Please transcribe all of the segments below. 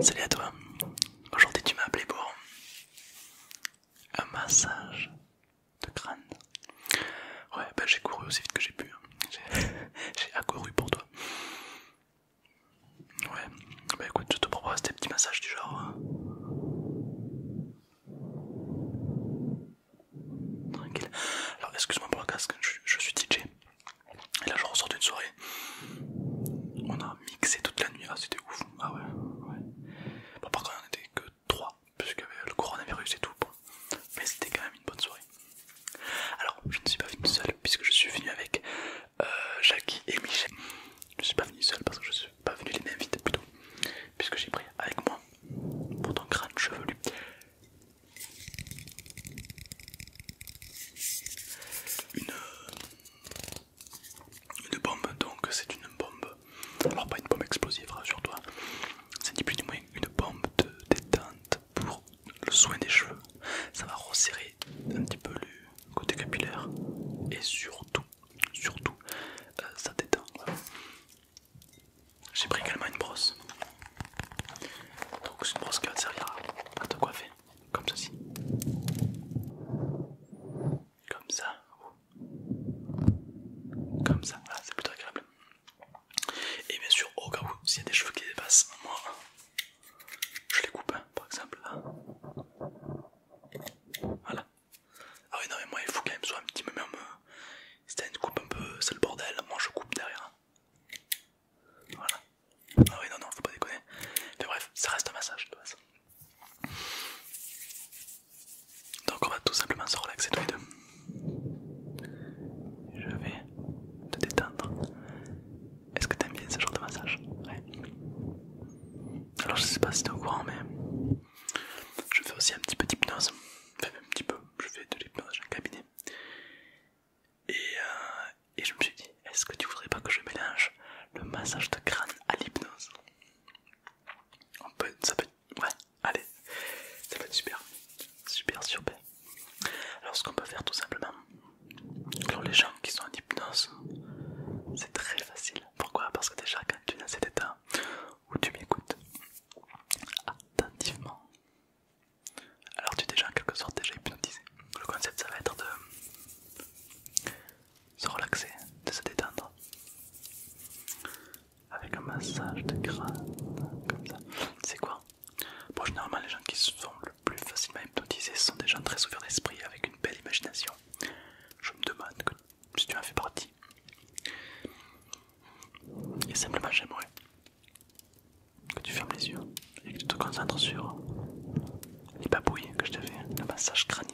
Salut à toi. Aujourd'hui, tu m'as appelé pour un massage de crâne. Ouais, bah j'ai couru aussi vite que j'ai pu. Hein. J'ai accouru pour toi. Ouais, bah écoute, je te propose des petits massages du genre. Hein. Tranquille. Alors, excuse-moi pour le casque, je suis DJ. Et là, je ressors d'une soirée. On a mixé toute la nuit. Ah, c'était ouf. Ah ouais, ouais. par contre, on était que 3, puisqu'il y avait le coronavirus et tout. Mais c'était quand même une bonne soirée. Alors, je ne suis pas venu seul, puisque je suis venu avec euh, Jackie et Michel. Je ne suis pas venu seul parce que je ne suis pas venu les vides. plutôt. Puisque j'ai pris avec moi, pour ton crâne chevelu, une, bombe, donc c'est une bombe, alors pas une bombe explosive, rassure-toi, c'est du plus moins une bombe de détente pour le soin des cheveux. Ça va resserrer un petit peu le côté capillaire et surtout, surtout, euh, ça détend. J'ai pris également une brosse donc une brosse qui va te servir à te coiffer, comme ceci. Comme ça. Comme ça, ah, c'est plutôt agréable. Et bien sûr, au cas où, s'il y a des cheveux qui dépassent, moi, je les coupe, hein, par exemple, Voilà. Ah oui, non, mais moi, il faut quand même soit un petit peu si t'as euh, une coupe un peu, c'est le bordel, moi je coupe derrière. Voilà. Ah oui, non, non, faut pas déconner. Mais bref, ça reste un massage de base. Donc on va tout simplement se relaxer tous les deux. Je vais te détendre. Est-ce que t'aimes bien ce genre de massage Ouais. Alors je sais pas si t'es au courant, mais je fais aussi un petit peu d'hypnose. Enfin, un petit peu, je fais de l'hypnose, en cabinet. Euh, et, je me suis dit, est-ce que tu voudrais pas que je mélange le massage de crâne à l'hypnose On peut, ça peut, ouais, allez, ça va être super, super, super. Alors ce qu'on peut faire tout simplement, pour les gens qui sont en hypnose, c'est très facile. Pourquoi Parce que déjà quand tu es dans cet état où tu m'écoutes attentivement, alors tu es déjà en quelque sorte déjà hypnotisé. Le concept ça va être de se relaxer, de se détendre avec un massage de crâne C'est quoi Bon généralement les gens qui sont le plus facilement hypnotisés sont des gens très ouverts d'esprit avec une belle imagination. Je me demande si tu en fais partie. Et simplement j'aimerais que tu fermes les yeux et que tu te concentres sur les babouilles que je te fais, le massage crânien.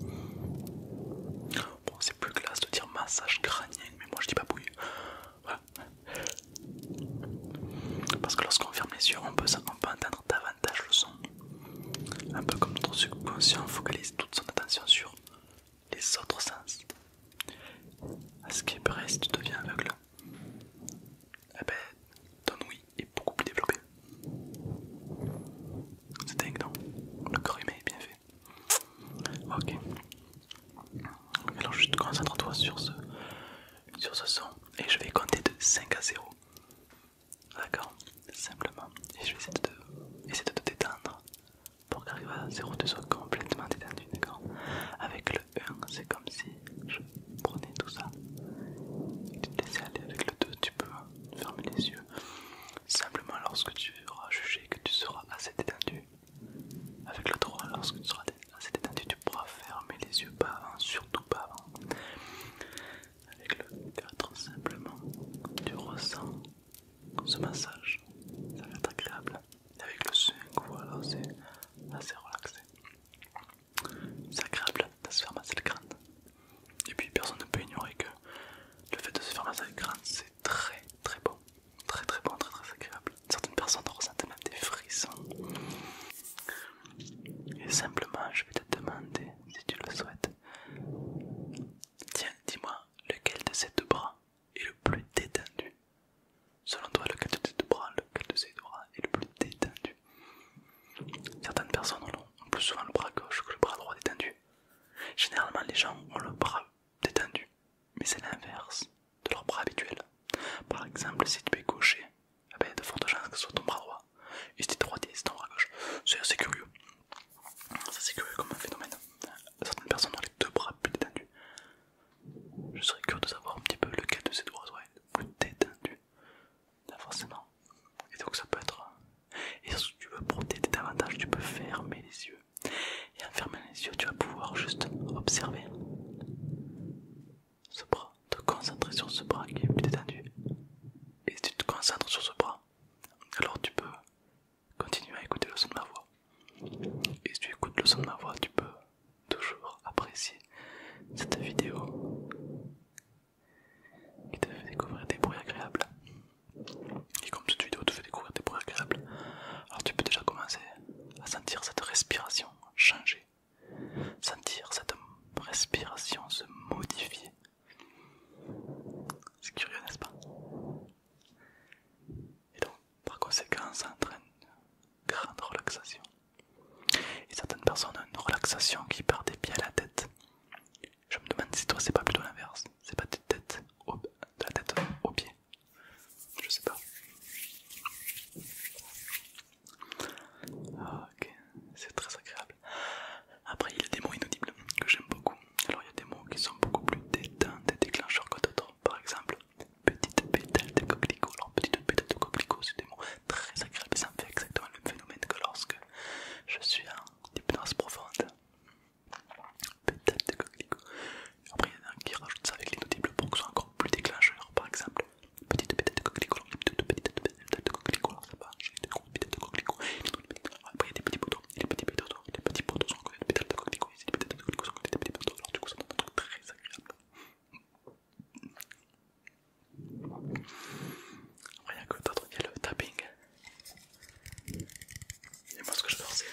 Bon, c'est plus classe de dire massage crânien, mais moi je dis babouille. Parce que lorsqu'on ferme les yeux, on peut, on peut entendre davantage le son. Un peu comme notre subconscient focalise toute son attention sur les autres sens. À ce qui est vrai, si tu deviens aveugle, eh ben, ton oui est beaucoup plus développée. C'est dingue, non Le corps est bien fait. Ok. Alors, juste concentre-toi sur ce, sur ce son et je vais compter de 5 à 0. D'accord Simplement. Et je vais essayer essayer de te détendre pour qu'arriver à tu soit complètement détendu, Avec le 1, c'est comme si je prenais tout ça et tu te aller. Avec le 2, tu peux hein, fermer les yeux. Simplement lorsque tu auras jugé que tu seras assez détendu. Avec le 3, lorsque tu seras assez détendu, tu pourras fermer les yeux, pas avant, hein, surtout pas avant. Hein. Avec le 4, simplement, tu ressens ce massage, ça va être agréable avec le 5, voilà, c'est assez relaxé. C'est agréable faire masser le crâne. Et puis personne ne peut ignorer que le fait de se faire masser le crâne, c'est très très bon. Très très bon, très très agréable. Certaines personnes ressentent même des frissons. Et simplement, je vais te demander, si tu le souhaites, tiens, dis-moi lequel de ces deux bras et le plus détendu. Selon toi, lequel de ses bras, lequel de ces deux bras est le plus détendu Certaines personnes ont plus souvent le bras gauche que le bras droit détendu. Généralement, les gens ont le bras détendu, mais c'est l'inverse de leur bras habituel. Par exemple, si tu es gaucher, il y a de fortes chances que ce ton bras droit. Et si tu es il c'est ton bras gauche. C'est assez curieux. C'est assez curieux comme phénomène. Certaines personnes ont les deux bras plus détendus, je serais curieux de savoir un petit peu lequel de ces doigts est le plus détendu. forcément. Et donc ça peut être... Et si tu veux protéger davantage, tu peux fermer les yeux. Et en fermant les yeux, tu vas pouvoir juste observer ce bras, te concentrer sur ce bras qui est plus détendu. Et si tu te concentres sur ce bras, alors tu peux continuer à écouter le son de ma voix. Et si tu écoutes le son de ma voix, tu peux toujours apprécier cette vidéo qui te fait découvrir des bruits agréables. Et comme cette vidéo te fait découvrir des bruits agréables, alors tu peux déjà commencer à sentir cette respiration changer, sentir cette respiration se modifier. C'est curieux, n'est-ce pas et donc par conséquent ça entraîne une grande relaxation. Et certaines personnes ont une relaxation qui part des pieds à la tête. Je me demande si toi c'est pas plutôt l'inverse, c'est pas de, la tête aux pieds. Je sais pas. Ah, ok, c'est très agréable. Après il y a des mots inaudibles que j'aime beaucoup. Alors il y a des mots qui sont beaucoup plus détente des déclencheurs que d'autres par exemple, petite pétale de coquelicot. petite pétale de coquelicot, c'est des mots très agréables, mais ça me fait exactement le même phénomène que lorsque je suis en hypnose profonde. Pétale de coquelicot. Après, il y en a qui rajoute ça avec les l'inaudible pour que ce soit encore plus déclencheur, par exemple. Petite pétale de coquelicot, petite pétale de coquelicot, ça va, j'ai des grosses pétales de coquelicot. Après, il y a des petits poteaux, les petits poteaux, petits sont encore des pétales de coquelicots, ils étaient des coquelicots, ils petits alors du coup ça donne un truc très agréable. rien que d'autre, il y a le tapping. Et moi ce que j'adore c'est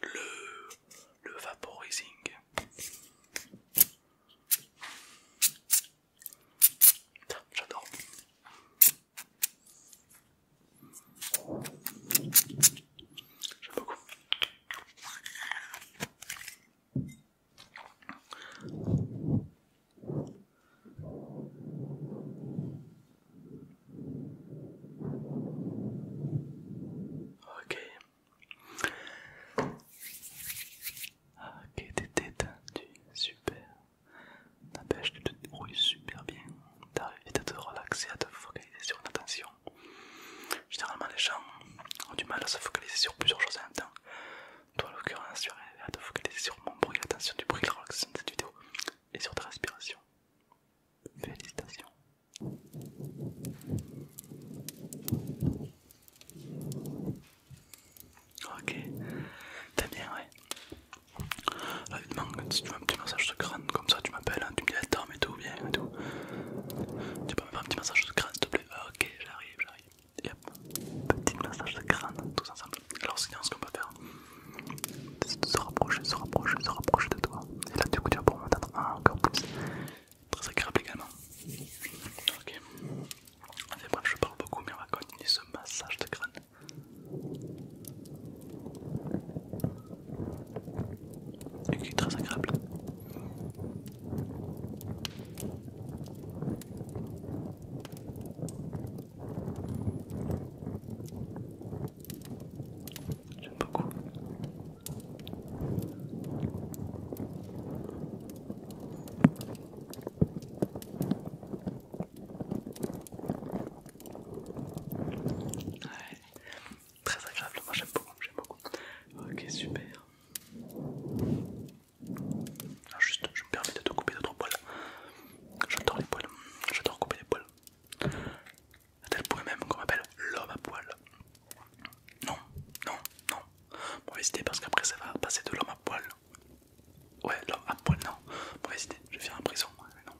le, vaporizing vaporizing. J'adore. J'aime beaucoup. Ok. Ok, t'es détendu, super. La pêche, tu te débrouilles super bien t'arrives à te relaxer, à te focaliser sur une attention. Généralement, les gens ont du mal à se focaliser sur plusieurs choses en même temps. Toi, en l'occurrence, tu arrivé à te focaliser sur mon bruit, l'attention du bruit, la relaxation de cette vidéo et sur ta respiration. Félicitations. Ok, t'es bien, ouais. Là, évidemment, si tu veux un petit massage de crâne comme ça, tu m'appelles, hein, tu me dis Attends, tu peux me faire un petit massage de crâne s'il te plaît ah, Ok, j'arrive, j'arrive. yep petit massage de crâne, tous ensemble. Alors, sinon, ce qu'on peut faire, c'est de se rapprocher, se rapprocher, se rapprocher de toi. Et là, du coup, tu vas pouvoir m'entendre encore plus. Très agréable également. Ok. bref, je parle beaucoup, mais on va continuer ce massage de crâne et qui est très agréable. J'aime beaucoup. Ouais très agréable, moi j'aime beaucoup, j'aime beaucoup. Ok super. Ah, juste je me permets de te couper d'autres poils. J'adore les poils, j'adore couper les poils. À tel point même qu'on m'appelle l'homme à poil. Non, non, non. Mauvaise hésiter parce qu'après ça va passer de l'homme à poil. Ouais, l'homme à poil, non. Mauvaise hésiter, je vais faire un prison, non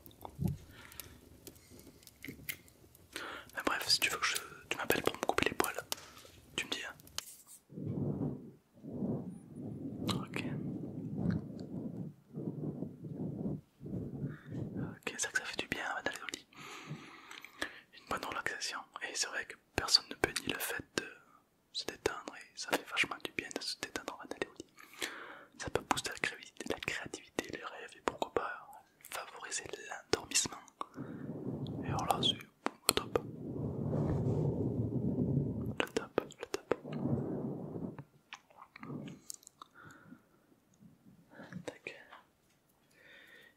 bref, si tu veux que je, tu m'appelles pour me couper les poils, tu me dis. Hein. Ok. Ok, c'est que ça fait du bien avant d'aller au lit. Une bonne relaxation. Et c'est vrai que personne ne peut nier le fait de se détendre et ça fait vachement du bien de se détendre avant d'aller au lit. Ça peut booster la créativité, les rêves et pourquoi pas favoriser l'endormissement. Et alors là, c'est le top. Le top, le top.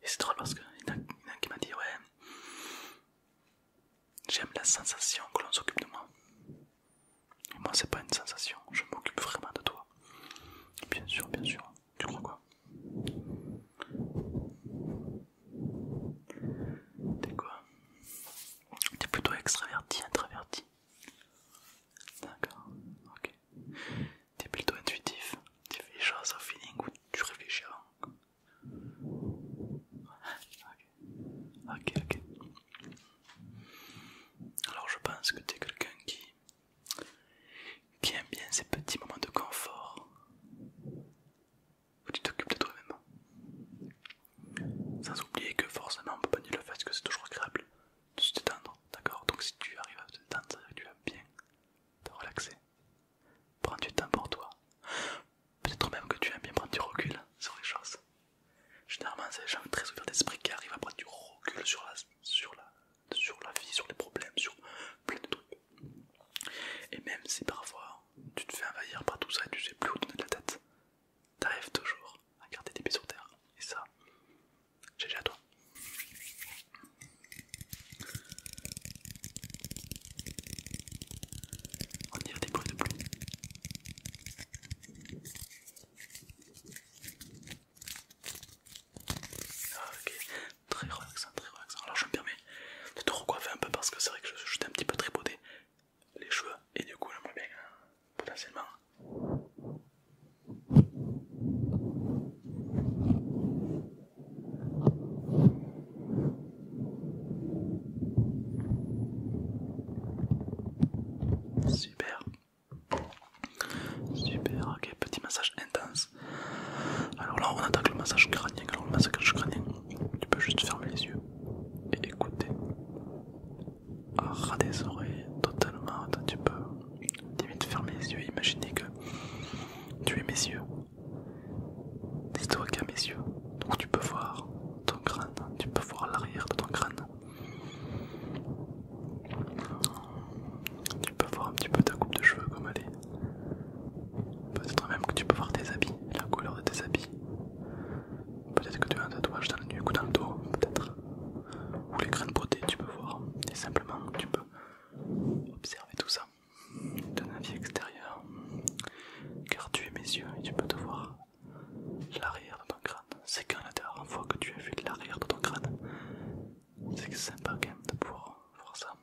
Et c'est drôle parce qu'il y en a qui m'a dit ouais, j'aime la sensation que l'on s'occupe de moi. moi, c'est pas une sensation, je m'occupe vraiment de toi. Bien sûr, bien sûr. Tu crois quoi T'es quoi T'es plutôt extraverti, introverti D'accord, ok. T'es plutôt intuitif, tu fais les choses au feeling ou tu réfléchis avant Ok, ok, ok. Alors je pense que t'es quelqu'un qui qui bien ces petits moments de confort où tu t'occupes de toi-même. Hein. Sans oublier que forcément on peut pas nier le fait que c'est toujours agréable de se détendre, d'accord Donc si tu arrives à te détendre, dire que tu vas bien te relaxer. Prends du temps pour toi. Peut-être même que tu aimes bien prendre du recul sur les choses. Généralement, c'est des gens très ouverts d'esprit qui arrivent à prendre du recul sur sur la sur la vie, sur les problèmes, sur plein de trucs. Et même si parfois tu te fais envahir par tout ça et tu sais plus où donner de la tête, t'arrives toujours à garder tes pieds sur terre. Et ça, GG à toi. On des bruits de pluie. Ok, très relaxant, très relaxant. Alors je me permets de te recoiffer un peu parce que c'est vrai que je suis un petit peu tripoté les cheveux et du coup moins bien potentiellement. Super, Super, ok, petit massage intense. Alors là, on attaque le massage crânien. le massage crânien, tu peux juste fermer les yeux et écouter. ras des oreilles, totalement. Tu peux limite fermer les yeux et imaginer que tu es mes yeux. dis toi qui mes yeux. Donc, tu peux voir ton crâne, tu peux voir l'arrière de ton crâne. Tu peux voir un petit peu ta coupe de cheveux comme elle est. Peut-être même que tu peux voir tes habits, la couleur de tes habits. Peut-être que tu as un tatouage dans le nuque ou dans le dos, peut-être. Ou les grains de tu peux voir. Et simplement, tu peux observer tout ça Donne un avis extérieur. Car tu es mes yeux et tu peux te voir l'arrière de ton crâne c'est quand la dernière fois que tu as vu de l'arrière de ton crâne C'est sympa quand même de pouvoir voir ça.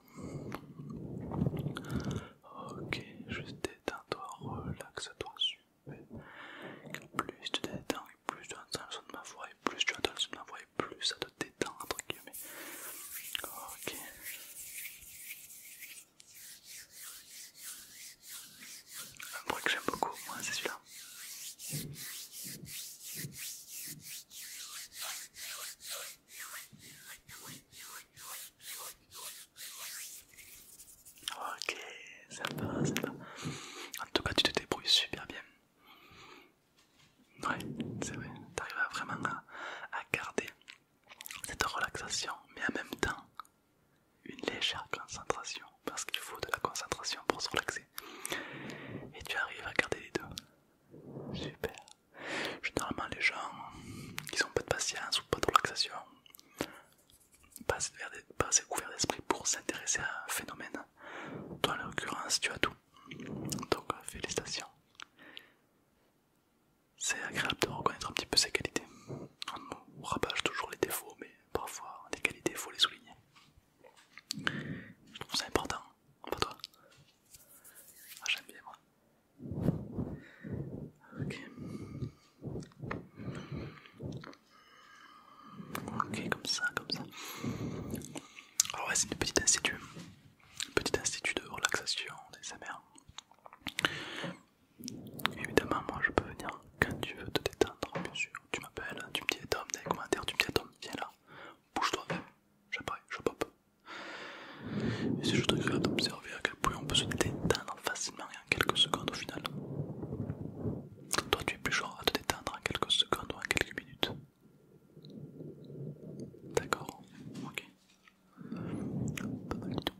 Ok, juste détends-toi, relaxe-toi Plus tu détends, et plus tu entends le son de ma voix, et plus tu entends le son de ma voix, et plus ça te détend entre guillemets. Ok. Un bruit que j'aime beaucoup, moi, c'est celui-là. Ok, ça va, En tout cas, tu te débrouilles super bien. Ouais, c'est vrai, t'arrives arrives vraiment à garder cette relaxation, mais en même temps une légère concentration, parce qu'il faut de la concentration pour se relaxer. Et tu arrives à garder les deux. Super. Généralement, les gens qui sont pas de patience ou pas de relaxation pas assez couverts d'esprit pour s'intéresser à un phénomène. Toi, en l'occurrence, tu as tout. Donc, félicitations. C'est agréable de reconnaître un petit peu ses qualités. On rabâche toujours les défauts, mais parfois, des qualités, il faut les souligner. Je trouve ça important, Enfin toi ah, j'aime bien moi. Ok. Ok, comme ça, comme ça. Alors ouais, c'est une petite institut. petit institut de relaxation des SMR. Évidemment, moi je peux venir quand tu veux te détendre, bien sûr tu m'appelles, tu me dis Tom, dans les commentaires, tu me dis Tom, viens là, bouge-toi, j'apparais, je pop. Et c'est juste te d'observer à quel point on peut se détendre facilement et en quelques secondes au final. Toi, tu es plus genre à te détendre en quelques secondes ou en quelques minutes. D'accord, ok. Pas mal du tout.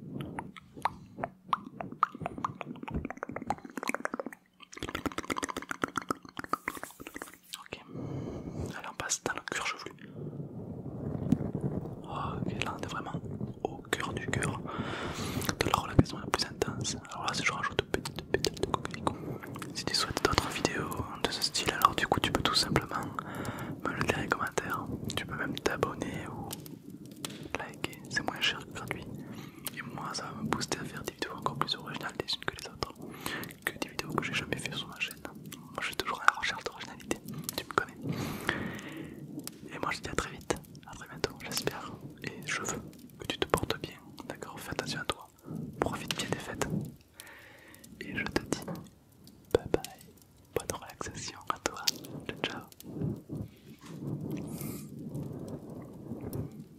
Ok, allez on passe dans le cuir chevelu. Oh, ok, là on est vraiment au cœur du cœur de la relaxation la plus intense. Alors là, si je rajoute petites pétales de coquelicot, si tu souhaites d'autres vidéos de ce style, alors du coup tu peux tout simplement me le dire en commentaire. Tu peux même t'abonner ou liker, c'est moins cher que gratuit. Et moi, ça va me booster à faire des vidéos encore plus originales les unes que les autres. Que des vidéos que j'ai jamais fait sur ma chaîne. Moi, je suis toujours à la recherche d'originalité. Tu me connais. Et moi, je te dis à très vite. À très bientôt, j'espère. Et je veux que tu te portes bien. D'accord Fais attention à toi. Profite bien des fêtes. Et je te dis bye bye. Bonne relaxation à toi. ciao.